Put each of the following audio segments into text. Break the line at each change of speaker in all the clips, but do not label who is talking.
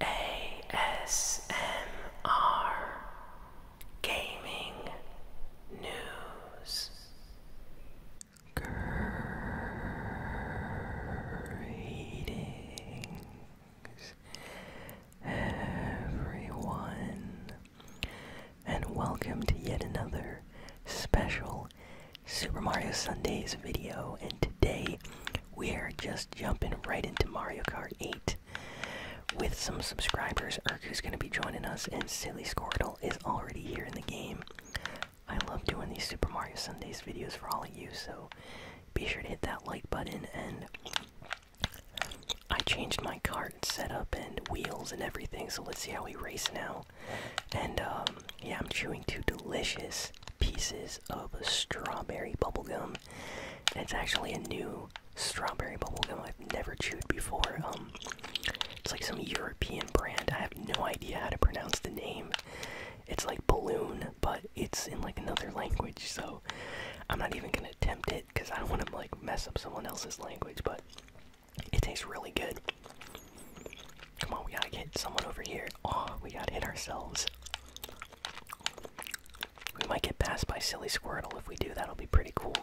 ASMR Gaming News Greetings everyone and welcome to yet another special Super Mario Sundays video and today we are just jumping right into Mario Kart 8 with some subscribers. who's going to be joining us, and Silly Squirtle is already here in the game. I love doing these Super Mario Sundays videos for all of you, so be sure to hit that like button. And I changed my kart setup and wheels and everything, so let's see how we race now. And um, yeah, I'm chewing two delicious pieces of strawberry bubblegum. It's actually a new strawberry bubblegum I've never chewed before. Um, it's like some European brand. I have no idea how to pronounce the name. It's like balloon, but it's in like another language, so I'm not even gonna attempt it because I don't want to like mess up someone else's language. But it tastes really good. Come on, we gotta get someone over here. Oh, we gotta hit ourselves. We might get passed by Silly Squirtle. If we do, that'll be pretty cool.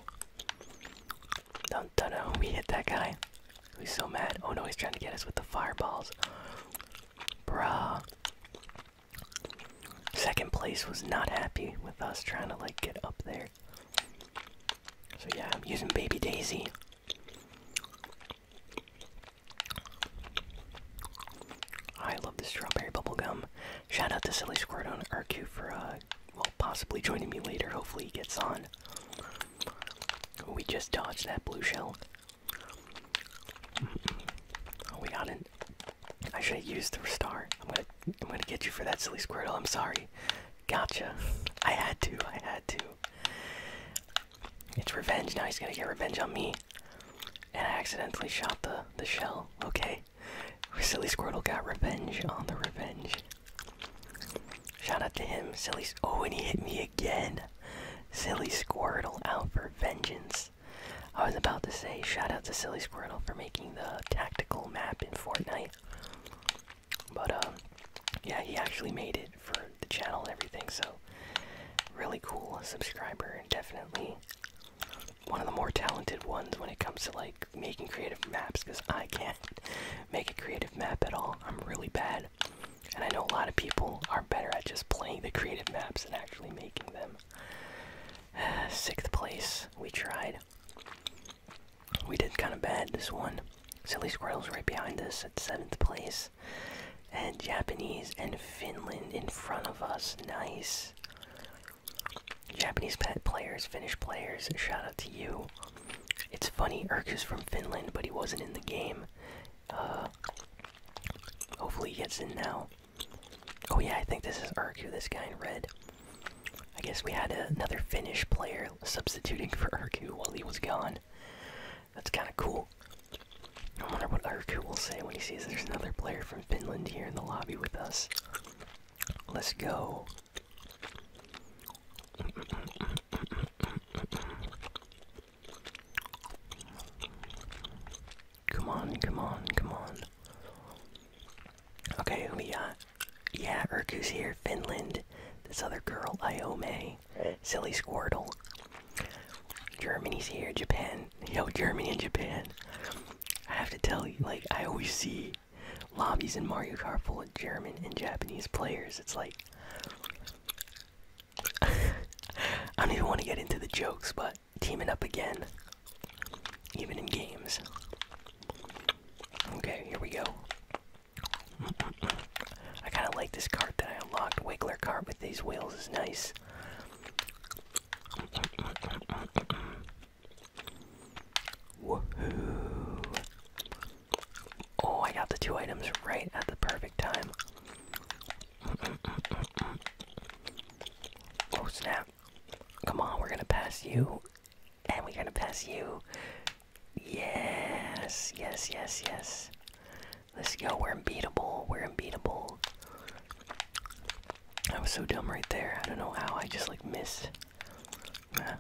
Don't, don't know. We hit that guy. He's so mad. Oh no, he's trying to get us with the fireballs. Bruh. Second place was not happy with us trying to like get up there. So yeah, I'm using Baby Daisy. I love the strawberry bubblegum. Shout out to Silly Squirtle on RQ for, uh, well, possibly joining me later. Hopefully he gets on. We just dodged that blue shell. Oh, we got it. I should have used the restart. I'm gonna, I'm gonna get you for that silly Squirtle. I'm sorry. Gotcha. I had to. I had to. It's revenge. Now he's gonna get revenge on me. And I accidentally shot the the shell. Okay. Silly Squirtle got revenge on the revenge. Shout out to him, silly. Oh, and he hit me again. Silly Squirtle out for vengeance. I was about to say shout out to Silly Squirtle for making the tactical map in Fortnite. But um, yeah, he actually made it for the channel and everything. So really cool subscriber, definitely one of the more talented ones when it comes to like making creative maps because I can't make a creative map at all. I'm really bad. And I know a lot of people are better at just playing the creative maps and actually making them. sixth place, we tried. We did kind of bad this one. Silly Squirrel's right behind us at seventh place. And Japanese and Finland in front of us. Nice. Japanese pet players, Finnish players, shout out to you. It's funny, Urku's from Finland, but he wasn't in the game. Uh, hopefully he gets in now. Oh yeah, I think this is Urku, this guy in red. I guess we had another Finnish player substituting for Urku while he was gone. That's kind of cool. I wonder what Urku will say when he sees there's another player from Finland here in the lobby with us. Let's go. Come on, come on, come on. Okay, we got. Yeah, Urku's here, Finland. This other girl, Iome. Silly Squirtle. Germany's here, Japan. Yo, Germany and Japan. I have to tell you, like, I always see lobbies in Mario Kart full of German and Japanese players. It's like. I don't even want to get into the jokes, but teaming up again. Even in games. Okay, here we go. I kind of like this cart that I unlocked. Wiggler cart But these wheels is nice. Woohoo! Oh, I got the two items right at the perfect time. Oh snap. Come on, we're gonna pass you. And we're gonna pass you. Yes, yes, yes, yes. Let's go. We're unbeatable. We're unbeatable. I was so dumb right there. I don't know how. I just like missed. Nah.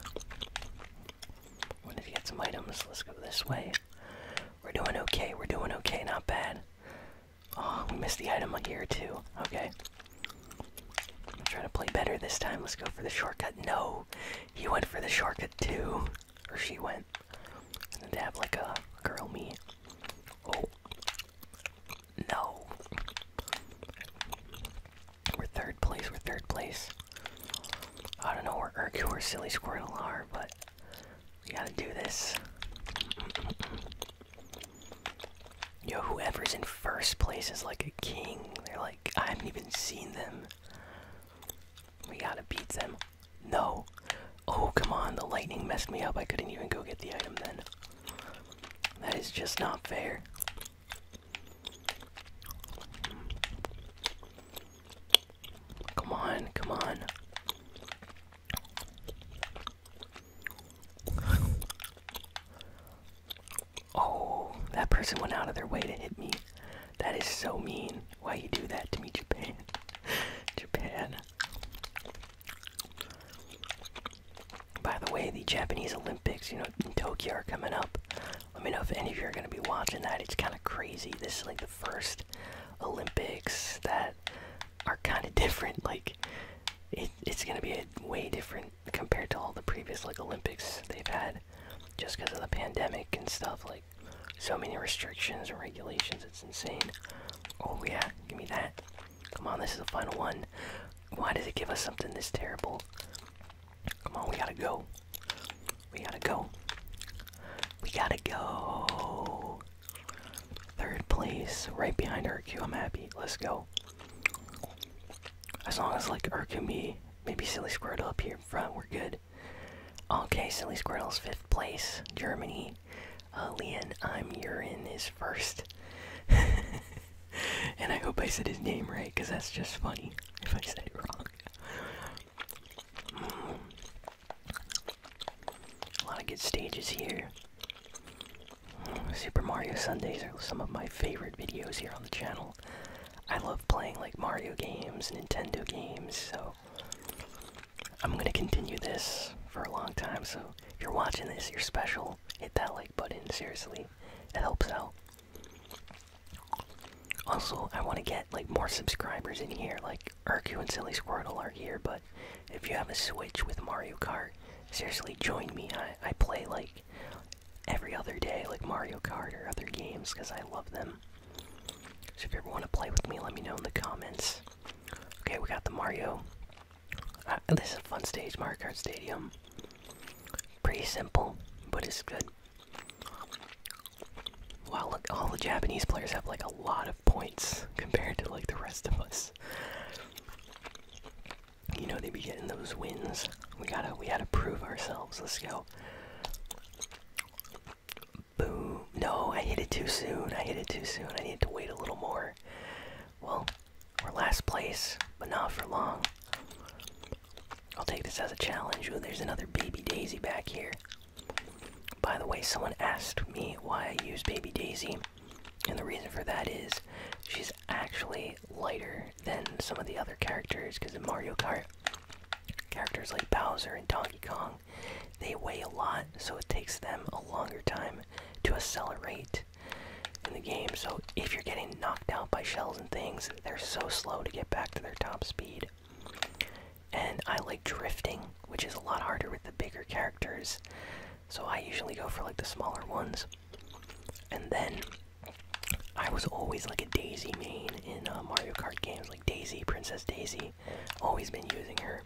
Wanted to get some items. Let's go this way. We're doing okay. We're doing okay. Not bad. Oh, we missed the item here too. Okay. I'm trying to play better this time. Let's go for the shortcut. No, he went for the shortcut too, or she went. And to have like a girl me. Oh, no. We're third place, we're third place. I don't know where Urku or Silly Squirtle are, but we gotta do this. Yo, whoever's in first place is like a king. They're like, I haven't even seen them. We gotta beat them. No. Oh, come on. The lightning messed me up. I couldn't even go get the item then. That is just not fair. Come on, come on. Oh, that person went out of their way to hit me. That is so mean. Why you do that to me, Japan? Japan. By the way, the Japanese Olympics, you know, in Tokyo are coming up. Let me know if any of you are going to be watching that. It's kind of crazy. This is like the first Olympics that are kind of different. Like, it's going to be a way different compared to all the previous like Olympics they've had, just because of the pandemic and stuff. Like, so many restrictions and regulations. It's insane. Oh yeah, give me that. Come on, this is the final one. Why does it give us something this terrible? Come on, we gotta go. We gotta go. We gotta go. Third place, right behind Urku. I'm happy. Let's go. As long as like Urku me, maybe Silly Squirtle up here in front, we're good. Okay, Silly is fifth place. Germany. Leon, I'm Urin is first. and I hope I said his name right, because that's just funny if I said it wrong. Mm. A lot of good stages here. Super Mario Sundays are some of my favorite videos here on the channel. I love playing like Mario games, Nintendo games, so I'm going to continue this for a long time, so if you're watching this, you're special. Hit that like button, seriously. It helps out. Also, I want to get like more subscribers in here. Like Urku and Silly Squirtle are here, but if you have a Switch with Mario Kart, seriously join me. I, I play like every other day, like Mario Kart or other games, because I love them. So if you ever want to play with me, let me know in the comments. Okay, we got the Mario. Uh, this is a fun stage, Mario Kart Stadium. Pretty simple, but it's good. Wow, look, all the Japanese players have like a lot of points compared to like the rest of us. You know, they be getting those wins. We gotta, we gotta prove ourselves. Let's go. Boom. No, I hit it too soon. I hit it too soon. I need to wait a little more. Well, we're last place, but not for long. I'll take this as a challenge. Ooh, there's another baby daisy back here. By the way, someone asked me why I use baby daisy, and the reason for that is she's actually lighter than some of the other characters, because in Mario Kart, characters like Bowser and Donkey Kong they weigh a lot, so it takes them a longer time to accelerate in the game. So if you're getting knocked out by shells and things, they're so slow to get back to their top speed. And I like drifting, which is a lot harder with the bigger characters. So I usually go for like the smaller ones. And then I was always like a Daisy main in uh, Mario Kart games, like Daisy, Princess Daisy. Always been using her.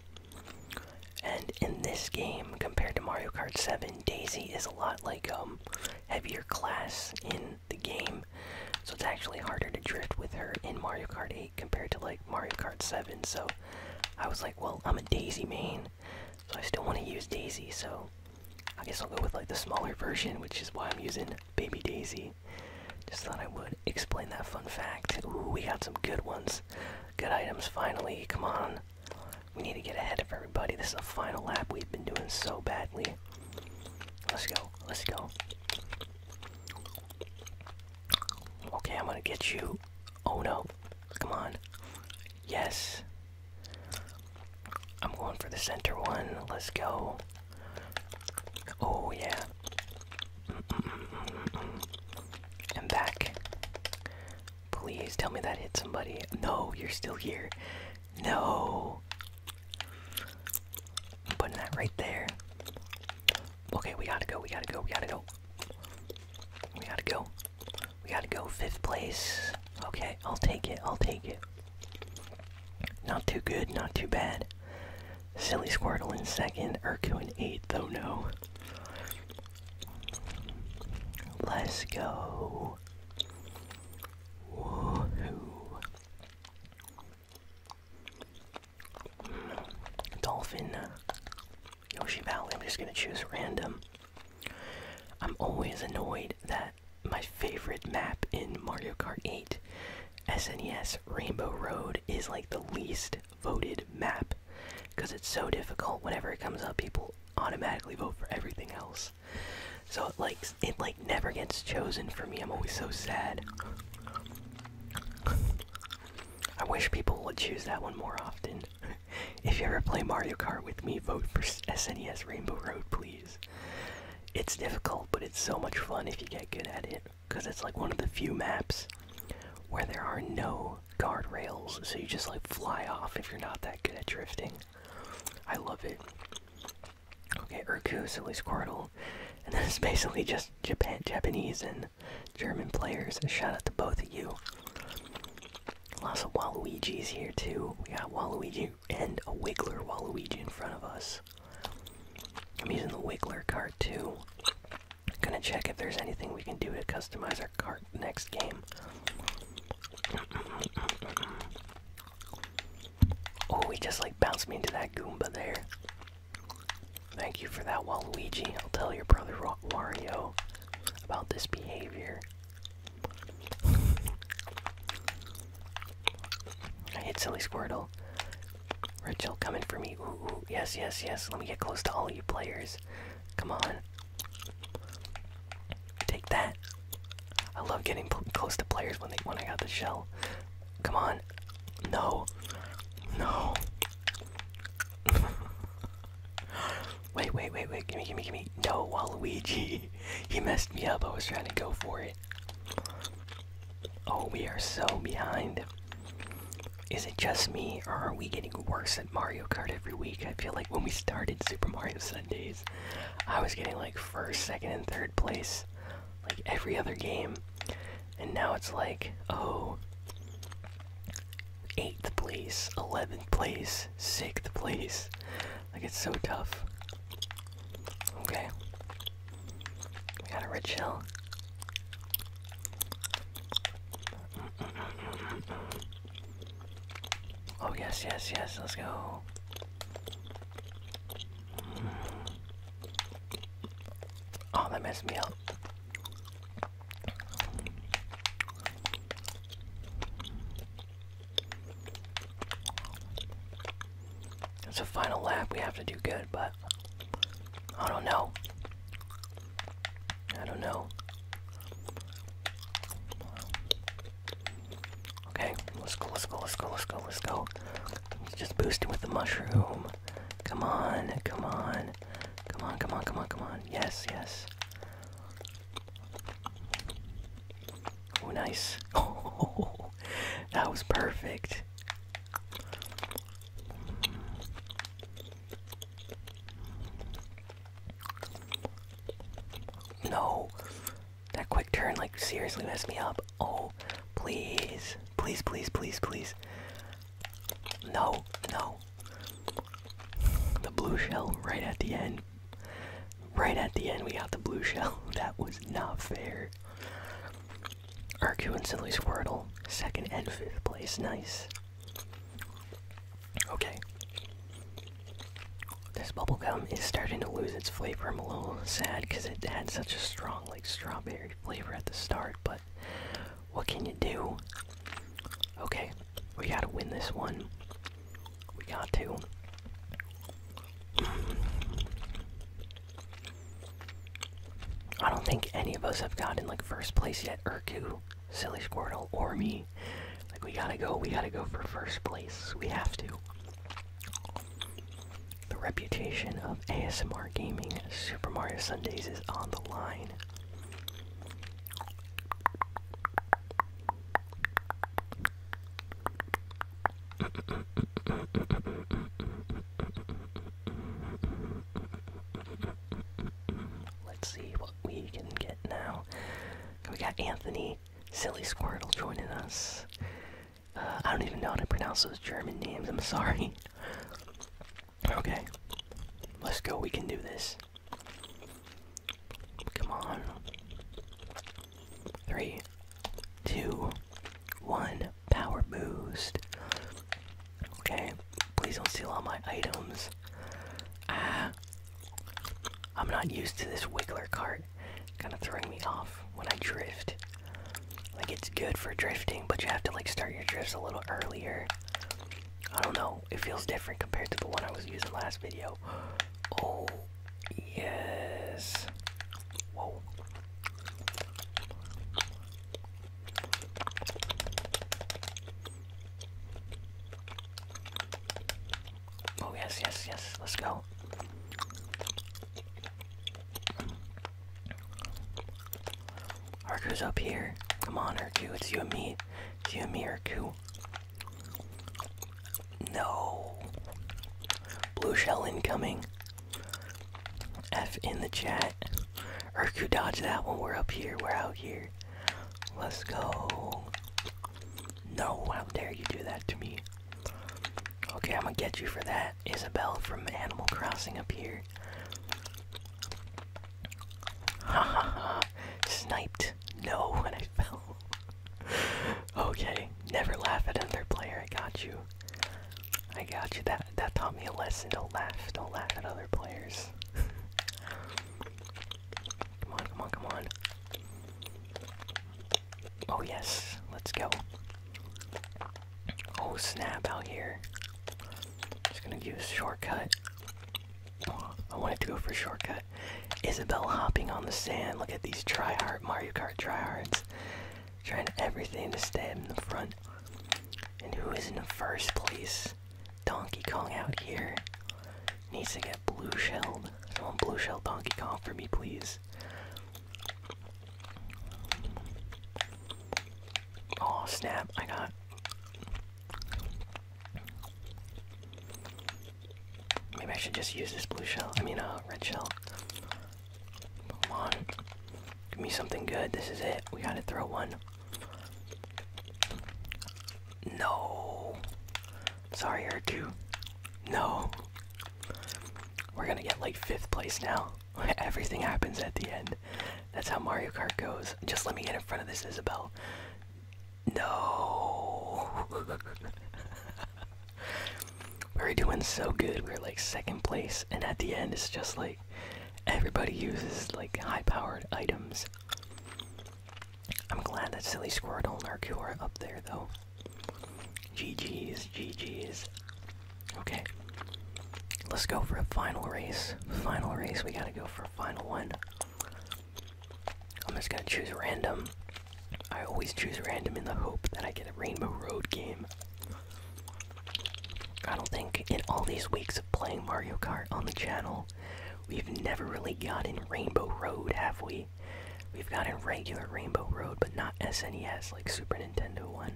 And in this game, compared to Mario Kart 7, Daisy is a lot like a um, heavier class in the game. So it's actually harder to drift with her in Mario Kart 8 compared to like Mario Kart 7. So I was like, well, I'm a Daisy main, so I still want to use Daisy. So I guess I'll go with like the smaller version, which is why I'm using Baby Daisy. Just thought I would explain that fun fact. we got some good ones. Good items, finally. Come on. We need to get ahead of everybody. This is the final lap. We've been doing so badly. Let's go. Let's go. Okay, I'm gonna get you. Oh no. Come on. Yes. I'm going for the center one. Let's go. Oh yeah. I'm back. Please tell me that hit somebody. No, you're still here. No. I'm putting that right there. Okay, we gotta go, we gotta go, we gotta go. We gotta go. We gotta go. Fifth place. Okay, I'll take it, I'll take it. Not too good, not too bad. Silly Squirtle in second, Urku in eighth, though. no. Let's go. Dolphin. Yoshi Valley. I'm just going to choose random. I'm always annoyed that my favorite map in Mario Kart 8, SNES Rainbow Road, is like the least voted map because it's so difficult whenever it comes up people automatically vote for everything else so it like it like never gets chosen for me i'm always so sad i wish people would choose that one more often if you ever play mario kart with me vote for snes rainbow road please it's difficult but it's so much fun if you get good at it because it's like one of the few maps where there are no guardrails, so you just like fly off if you're not that good at drifting. I love it. Okay, Urku, Silly Squirtle, and this is basically just Japan, Japanese and German players. Shout out to both of you. Lots of Waluigi's here too. We got Waluigi and a Wiggler Waluigi in front of us. I'm using the Wiggler card too. Gonna check if there's anything we can do to customize our cart next game. Oh, he just like bounced me into that Goomba there. Thank you for that, Waluigi. I'll tell your brother Wario about this behavior. I hit Silly Squirtle. Rachel coming for me. ooh, yes, yes, yes. Let me get close to all you players. Come on. Take that. I love getting close to players when they when I got the shell. Come on. No. No. wait, wait, wait, wait. Gimme, gimme, gimme. No, Waluigi. He messed me up. I was trying to go for it. Oh, we are so behind. Is it just me, or are we getting worse at Mario Kart every week? I feel like when we started Super Mario Sundays, I was getting like first, second, and third place, like every other game. And now it's like, oh, eighth place, 11th place, sixth place. Like it's so tough. Okay. We got a rich hill. Oh, yes, yes, yes, let's go. Oh, that messed me up. It's a final lap, we have to do good, but I don't know. I don't know. Okay, let's go, let's go, let's go, let's go, let's go. Just boosting with the mushroom. Come on, come on. Come on, come on, come on, come on. Yes, yes. Oh, nice. Oh, that was perfect. No. That quick turn, like, seriously messed me up. Oh, please. Please, please, please, please. No, no. The blue shell right at the end. Right at the end, we got the blue shell. That was not fair. Arcu instantly Squirtle. Second and fifth place. Nice. Okay. This bubblegum is starting to lose its flavor. I'm a little sad because it had such a strong, like, strawberry flavor at the start, but what can you do? Okay, we gotta win this one. We got to. I don't think any of us have gotten, like, first place yet. Urku Silly Squirtle or me. Like, we gotta go, we gotta go for first place. We have to. The reputation of ASMR gaming Super Mario Sundays is on the line. Let's see we can get now. We got Anthony, Silly Squirtle joining us. Uh, I don't even know how to pronounce those German names, I'm sorry. Okay, let's go, we can do this. Come on. Three, two, one, power boost. Okay, Please don't steal all my items. Ah. I'm not used to this wiggler cart. Kind of throwing me off when I drift. Like, it's good for drifting, but you have to, like, start your drifts a little earlier. I don't know. It feels different compared to the one I was using last video. Oh, yes. Whoa. Oh, yes, yes, yes. Let's go. Arku's up here. Come on, Arku. It's you and me. It's you and me, Arku. No. Blue shell incoming. F in the chat. Urku dodge that one. we're up here. We're out here. Let's go. No, how dare you do that to me? Okay, I'm gonna get you for that. Isabel from Animal Crossing up here. Ha ha ha. Sniped. No, when I fell. okay, never laugh at another player. I got you. I got you. That that taught me a lesson. Don't laugh. Don't laugh at other players. Come on, come on, come on. Oh, yes, let's go. Oh, snap out here. Just gonna use shortcut. I wanted to go for shortcut. Isabel hopping on the sand. Look at these tryhard Mario Kart tryhards. Trying everything to stay in the front. And who is in first place? Donkey Kong out here. Needs to get blue shelled. I want blue shell Donkey Kong for me, please. Oh snap, I got Maybe I should just use this blue shell. I mean a uh, red shell. Come on. Give me something good. This is it. We gotta throw one. No. Sorry, R2. No. We're gonna get like fifth place now. Everything happens at the end. That's how Mario Kart goes. Just let me get in front of this Isabelle. No. we are doing so good. We are like second place, and at the end, it's just like everybody uses like high powered items. I'm glad that silly squirrel and Arcure up there, though. GG's, GG's. Okay. Let's go for a final race. Final race, we gotta go for a final one. I'm just gonna choose random. I always choose random in the hope that I get a Rainbow Road game. I don't think in all these weeks of playing Mario Kart on the channel, We've never really gotten Rainbow Road, have we? We've gotten regular Rainbow Road, but not SNES, like Super Nintendo one.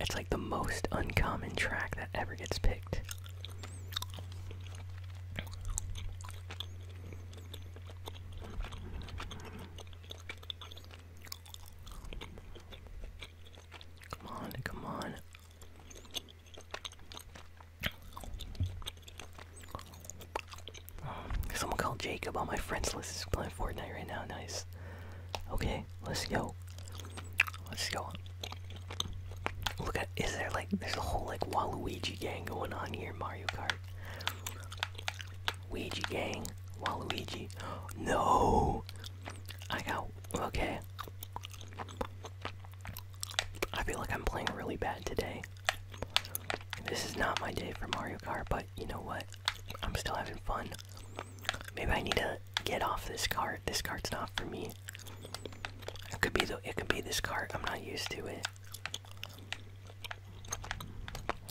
It's like the most uncommon track that ever gets picked. Come on, come on. Someone called Jacob on my friends list is playing Fortnite right now. Nice. Okay, let's go. Let's go. Look at is there like there's a whole like Waluigi gang going on here Mario Kart. Ouija gang, Waluigi. No, I got okay. I feel like I'm playing really bad today. This is not my day for Mario Kart, but you know what? I'm still having fun. Maybe I need to get off this cart. This cart's not for me. It could be the it could be this cart. I'm not used to it.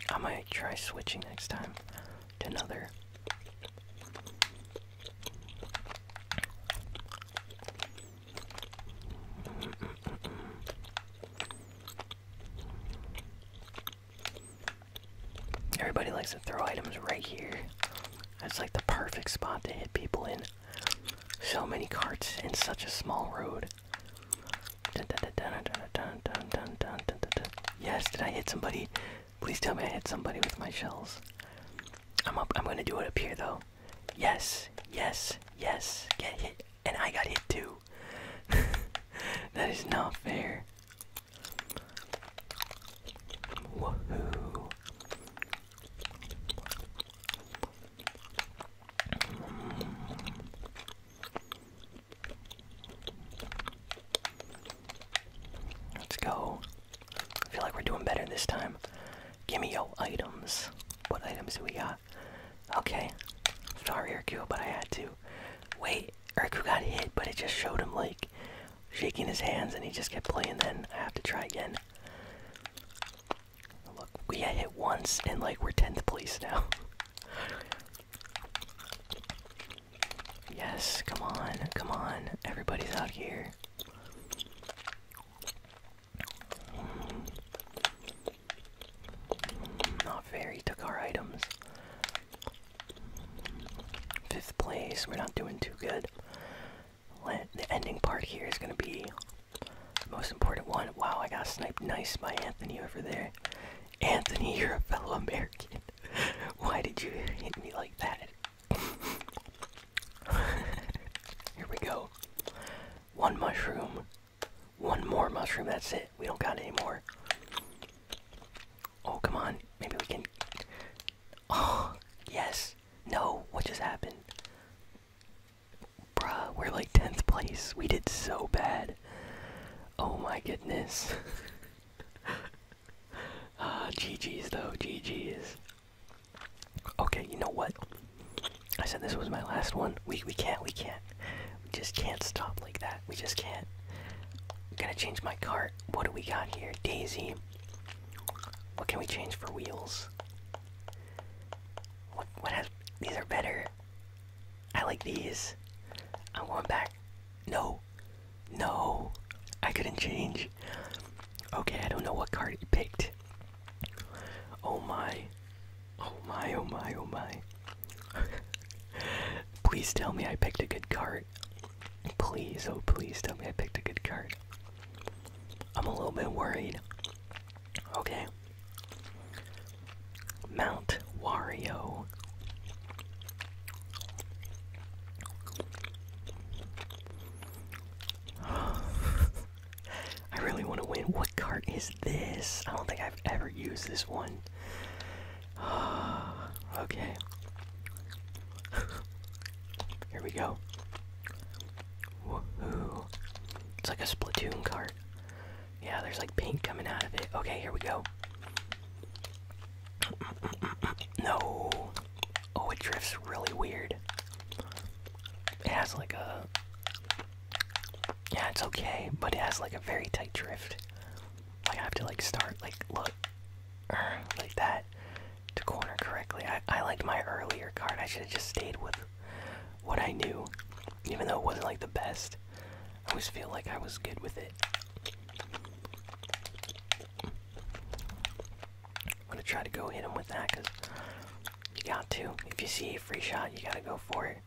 I might try switching next time to another. Everybody likes to throw items right here. That's like the perfect spot to hit people in. So many carts in such a small road. Yes, did I hit somebody? Please tell me I hit somebody with my shells. I'm up. I'm gonna do it up here though. Yes, yes, yes. Get hit. And I got hit too. that is not fair. Woohoo. Let's go. I feel like we're doing better this time. Give me your items. What items do we got? Okay. Sorry, Urku, but I had to. Wait, Urku got hit, but it just showed him, like, shaking his hands, and he just kept playing. Then I have to try again. Look, we hit once, and, like, we're 10th place now. Yes, come on, come on. Everybody's out here. Not fair, he took our items. Fifth place, we're not doing too good. the ending part here is gonna be the most important one. Wow, I got sniped nice by Anthony over there. Anthony, you're a fellow American. Why did you hit me like that? Here we go. One mushroom. One more mushroom. That's it. We don't got anymore. Oh, come on. Maybe we can. Oh, yes. No. What just happened? Bruh, we're like 10th place. We did so bad. Oh my goodness. Ah, GG's though. GG's. Okay, you know what? I said this was my last one. We we can't we can't. We just can't stop like that. We just can't. I'm gonna change my cart. What do we got here? Daisy. What can we change for wheels? What what has these are better. I like these. I am going back. No. No. I couldn't change. Okay, I don't know what card he picked. Oh my. Oh my, oh my, oh my. please tell me I picked a good card. Please, oh please tell me I picked a good card. I'm a little bit worried. Okay. Mount Wario. I really want to win. What cart is this? I don't think I've ever used this one. okay. Here we go. Woohoo. It's like a Splatoon cart. Yeah, there's like paint coming out of it. Okay, here we go. No. Oh, it drifts really weird. It has like a yeah, it's okay, but it has like a very tight drift. Like I have to like start like look er, like that to corner correctly. I I liked my earlier card. I should have just stayed with what I knew, even though it wasn't like the best. I always feel like I was good with it. I'm gonna try to go hit him with that because you got to. If you see a free shot, you gotta go for it.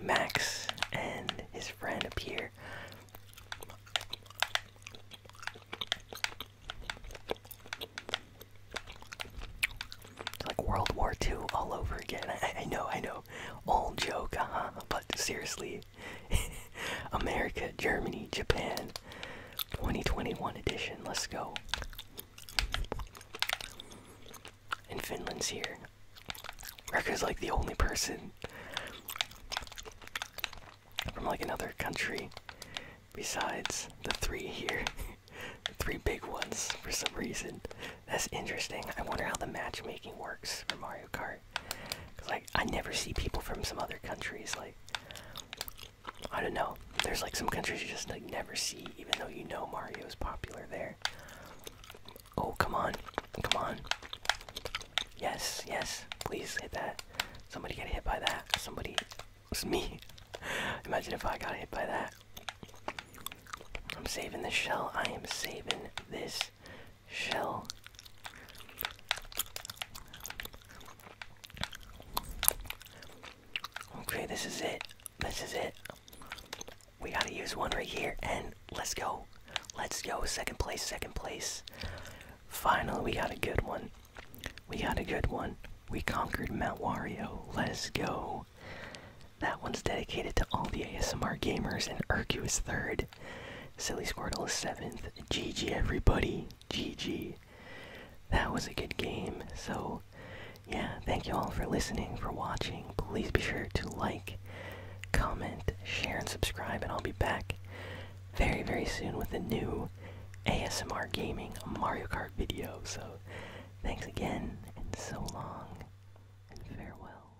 Max and his friend appear. It's like World War II all over again. I, know, I know. Old joke, huh? But seriously, America, Germany, Japan. 2021 edition. Let's go. And Finland's here. Rekka's like the only person from like another country besides the three here. the three big ones for some reason. That's interesting. I wonder how the matchmaking works for Mario Kart. Cause like I never see people from some other countries. Like I don't know. There's like some countries you just like never see, even though you know Mario's popular there. Oh come on, come on. Yes, yes. Please hit that. Somebody get hit by that. Somebody. It's me. Imagine if I got hit by that. I'm saving this shell. I am saving this this shell. Okay, this is it. This is it. We gotta use one right here, and let's go. Let's go. Second place, second place. Finally, we got a good one. We got a good one. We conquered Mount Wario. Let's go. That one's dedicated to all the ASMR gamers, and Urku is third. Silly Squirtle is seventh. GG, everybody. GG. That was a good game. So, yeah, thank you all for listening, for watching. Please be sure to like, comment, share, and subscribe, and I'll be back very, very soon with a new ASMR Gaming Mario Kart video. So, thanks again, and so long, and farewell.